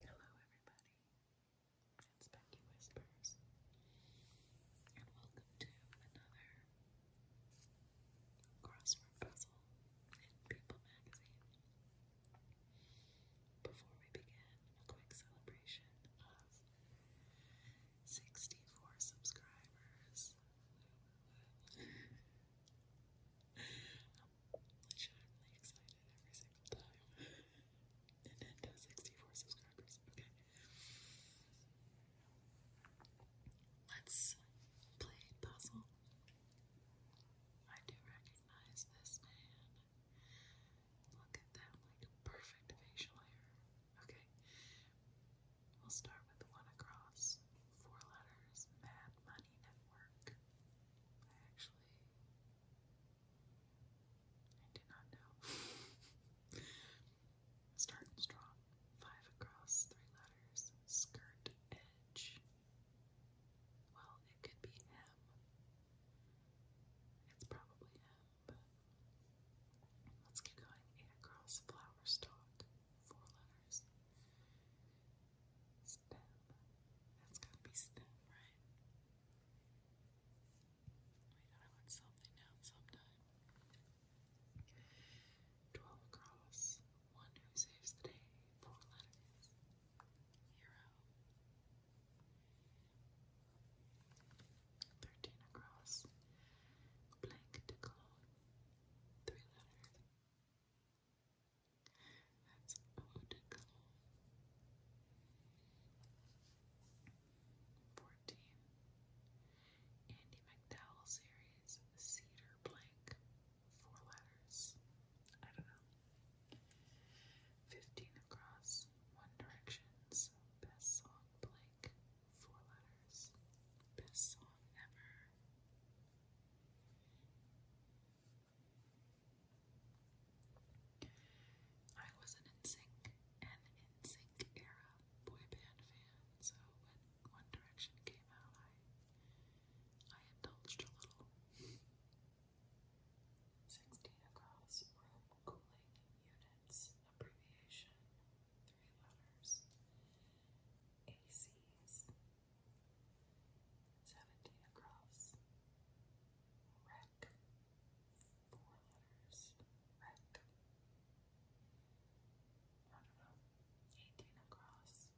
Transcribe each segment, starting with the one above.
Hello, everybody. It's Becky Whispers, and welcome to another crossword puzzle in People Magazine. Before we begin, a quick celebration of 64 subscribers. legitimately excited every single time. Nintendo 64 subscribers. Okay. Let's play puzzle. I do recognize this man. Look at that, like perfect facial hair. Okay. We'll start with one across. Four letters. Mad Money Network. I actually I do not know. Starting strong. Five across, three letters. Skirt edge. Well, it could be him. It's probably him, let's keep going. Eight across, flower stalk. Four letters. Stem. That's to be stem, right? We gotta let something out sometime. Twelve across. One who saves the day. Four letters. Hero. Thirteen across. Blank to call. Three letters. That's Eau Fourteen. Andy McDowell series Cedar Blank. Four letters. I don't know. Fifteen across. One Direction's best song blank. Four letters. Best song ever. I was an NSYNC and NSYNC era boy band fan, so when One Direction came out, I I indulged a little. 16 across room cooling units, abbreviation, three letters. ACs, Seventeen across. Wreck. Four letters. Wreck. I don't know. Eighteen across.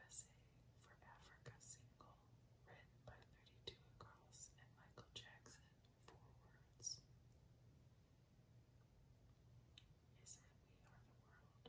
USA for Africa single, written by 32 across and Michael Jackson, four words. Is it we are the world?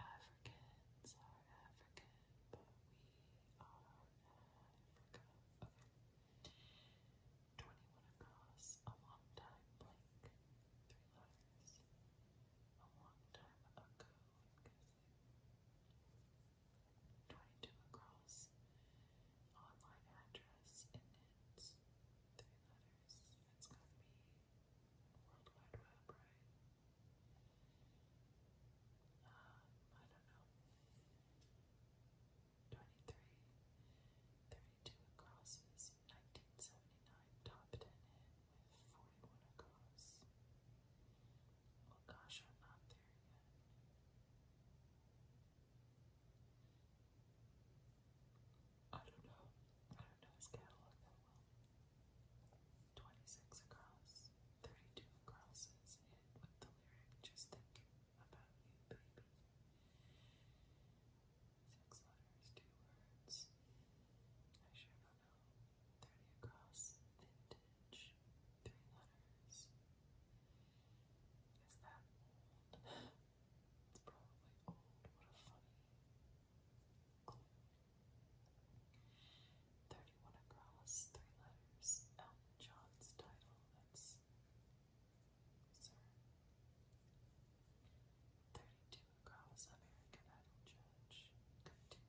Africans are African, but we are Africa. 21 across, a long time blank. Three letters. A long time ago, 22 across, online address, and three letters this. It's gonna be World Wide Web, right? I don't know. 23, crosses, 1979 top 10 with 41 across. Well, gosh, I'm not there yet. I don't know. I don't know his catalog that well. 26 across, 32 crosses hit with the lyric just thinking about you, baby. Six letters, two words. I sure don't know. 30 across, vintage, three letters. Is that old? it's probably old. What a funny 31 across, three letters. Elton John's title, that's Sir. 32 across, American Idol Judge.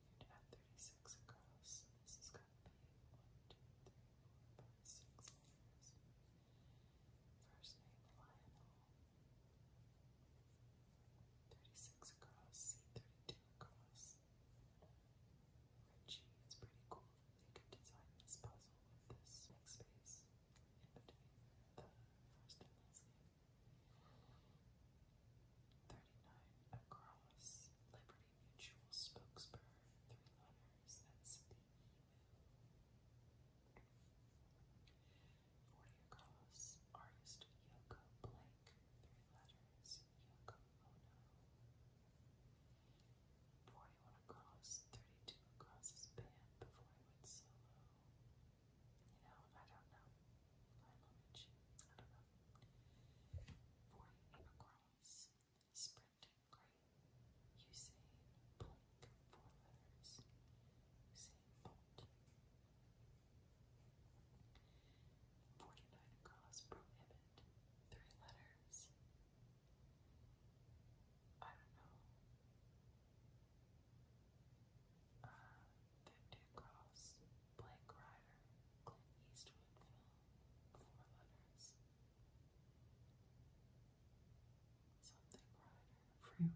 36 across. This is going to be 1, First name Lionel, 36 across, C32 across. Richie, it's pretty cool they could design this puzzle with this big space 39 across, Liberty Mutual Spokesper, three letters, that's the Maria Carlos, artist Yoko Ono. Forty-one across, thirty-two across his band before he went solo. You know, I don't know. I don't know. Forty-eight across, sprinting great. Usain Blink, four letters bolt. 49 across, prohibit. Three letters. I don't know. Uh, 50 across, Blake Rider, Eastwood four letters. Something Freeway.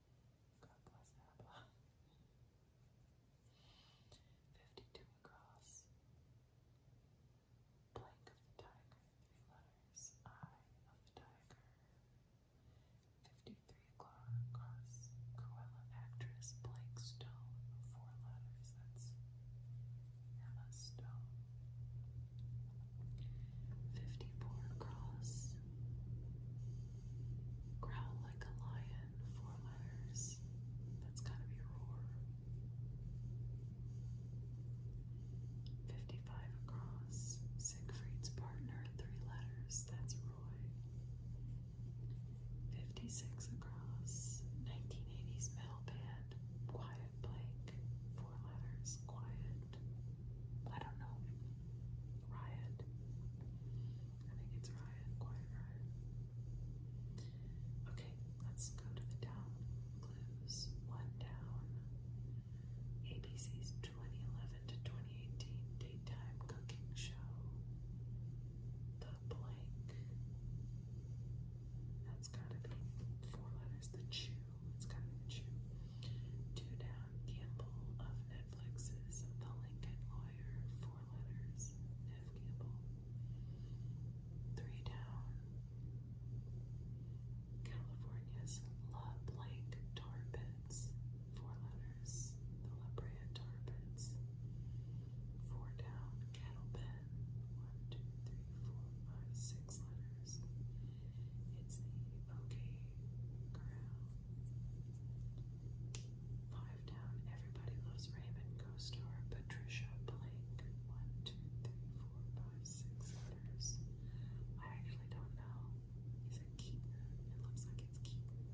God bless Abba. 52 across. Blank of the tiger, three letters. Eye of the tiger. 53 across. Cruella actress, blank stone, four letters. That's Emma Stone. 54 across. Growl like a lion, four letters. That's gotta be roar. 55 across. Siegfried's partner, three letters. That's Roy. 56 across. 1980s metal band, Quiet Blake, four letters. Quiet. I don't know. Riot. I think it's Riot, Quiet Riot. Okay, let's go to the down clues. One down. ABC's 2011 to 2018 daytime cooking show. The blank. That's gotta be four letters. The chew. It's gotta be chew. Two down. Campbell of No Netflix is The Lincoln Lawyer, Four Letters, Neff Campbell. Three Down, California's La Blake Tar Pits, Four Letters, The La Brea Tar Pits. Four Down, Kettle Pen, one, two, three, four, five, six letters. It's the OK Corral. Five down, everybody loves Raymond. Co-star Patricia Blake. One, two, three, four, five, six letters. I actually don't know. Is it Keaton? It looks like it's Keaton.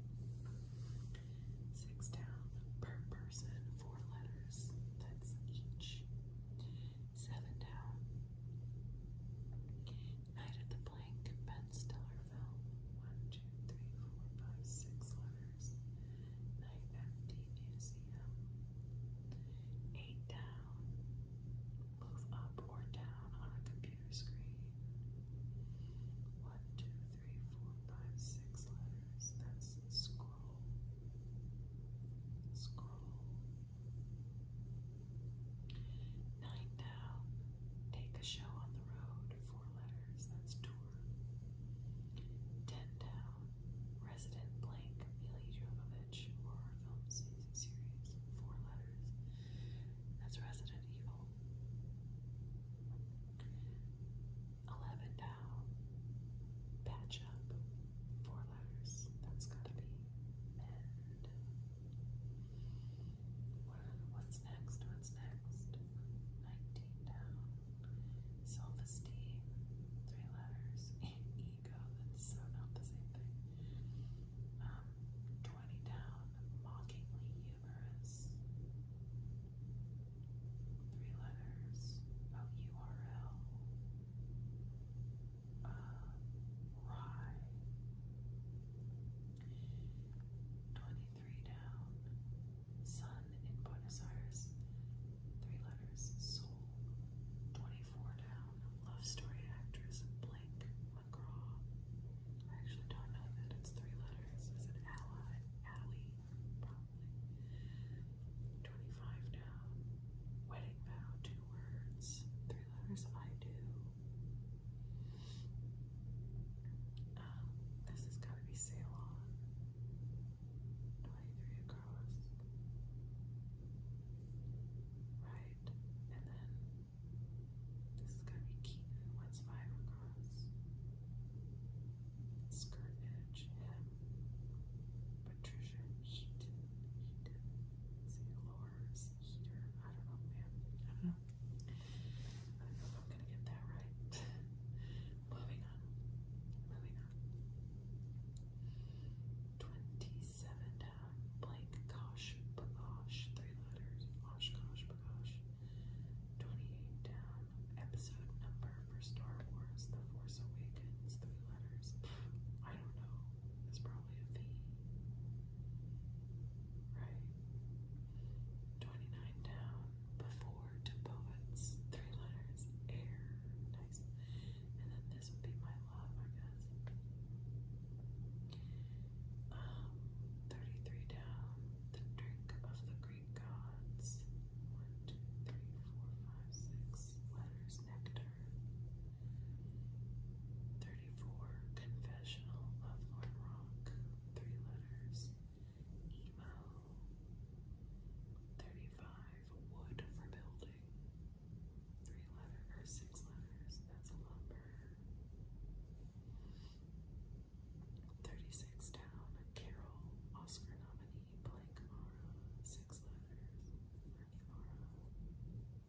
Six down per person, four letters. That's each. Seven down. Night of the Blank, Ben Stiller film. One, two, three, four, five, six letters. Night at Museum. Eight down. Move up or down on a computer screen. One, two, three, four, five, six letters. That's scroll. Scroll. Nine down. Take a show on the road. Four letters. That's tour. Ten down. Resident blank Mila Jovovich horror film series. Four letters. That's Resident Evil. Eleven down. Patch up. Four letters. That's gotta be men. What's next? What's next? 19 down. Self Three letters. ego. That's so not the same thing. Um, 20 down. Mockingly humorous. Three letters. Oh, rye. Twenty-three down. Sun in Buenos Aires. Three letters. Soul. Twenty-four down. Love story actress Blake McGraw. I actually don't know that it's three letters. Is it Ally? Allie? Probably. Twenty-five down. Wedding vow. Two words. Three letters. I do. Um, this has got to be Ceylon. 23 across. Right. And then this is going to be Keaton. What's five across? Skirt edge. Patricia. He didn't. He I don't know, man. I don't know. I don't know if I'm gonna get that right. Moving on. Moving on. 27 down. Blank, gosh, bagosh. Three letters. Osh, gosh, bagosh. 28 down. Episode number for Star Wars The Force Awakens. Three letters. I don't know is probably a V, Right? 29 down, before to poets, three letters, air, nice. And then this would be my love, I guess. Um, 33 down, the drink of the Greek gods. One, two, three, four, five, six letters, nectar. 34. Confessional of Rock. Three letters. Emo. 35. Wood for building. Three letters, or six letters. That's lumber. 36 down. Carol. Oscar nominee. Blake Mara. Six letters. Bernie Mara.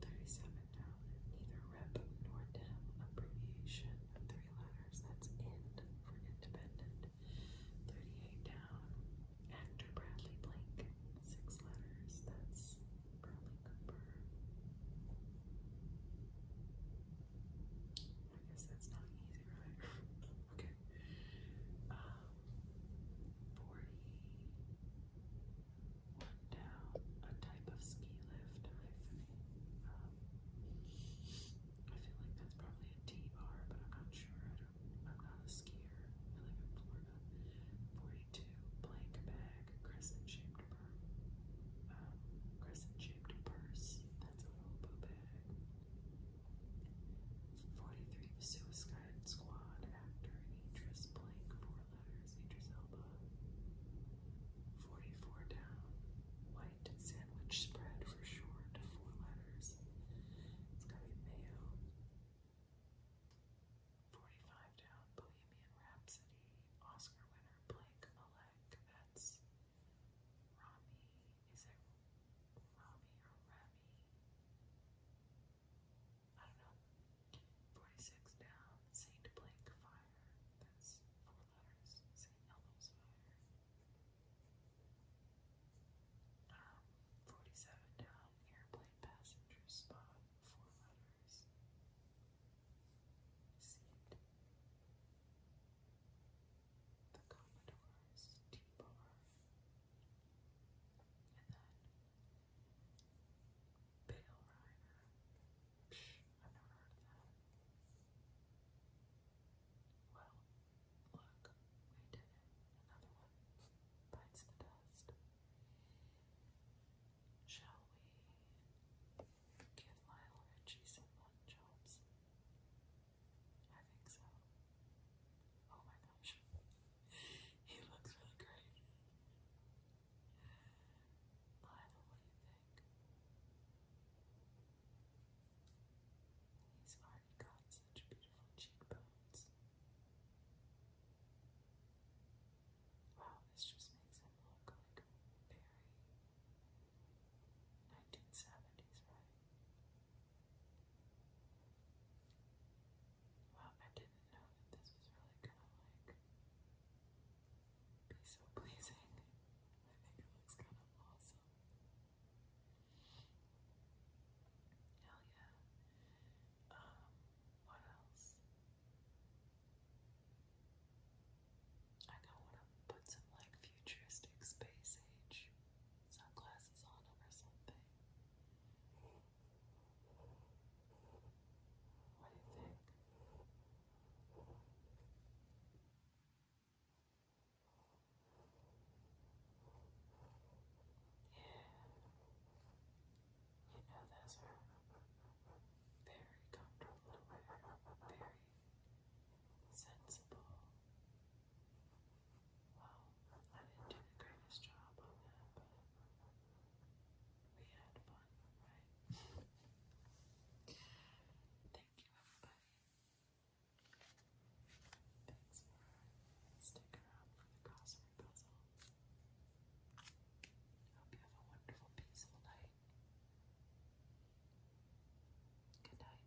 Thirty-seven down. Neither rep nor dem abbreviation of three letters. That's IND for independent. Thirty-eight down. Actor Bradley Blink. Six letters. That's Bradley Cooper. I guess that's not easy, right? okay. Um, one down, a type of ski lift, I um, feel like that's probably a T-bar, but I'm not sure. I am not a skier. I live in Florida. 42, blank bag, crescent-shaped purse. Um, crescent-shaped purse. That's a little bag. 43, suicide Silent Squad actor and Idris Blank, four letters, Idris Elba. 44 down, white sandwich spread for short, four letters. It's got to be mayo. 45 down, Bohemian Rhapsody, Oscar winner Blake Malek. That's Rami. Is it Rami or Remy? I don't know, 46 down, St. Blake Fire, that's four letters, St. Elmo's Fire. Um, 47 down, Airplane Passenger Spot, four letters, The Commodore's T-Bar. And then Bill Ryder. I've never heard of that. Well, look, we did it. Another one bites the dust. Shall we give Lyle Richie some lunch jobs? I think so. Oh my gosh he looks really great. Lionel, what do He's already got such beautiful cheekbones. Wow, this just makes him look like very 1970s, right? Wow, I didn't know that this was really gonna like be so pleasing. I think it looks kind of awesome. Hell yeah. Um, what else? I kinda wanna put some like futuristic space age sunglasses on or something. What do you think? Yeah, you know those are very comfortable to wear, very sensible, well, I didn't do the greatest job on that, but we had fun, right? Thank you, everybody. Thanks for sticking around for the crossword puzzle. Hope you have a wonderful, peaceful night. Good night.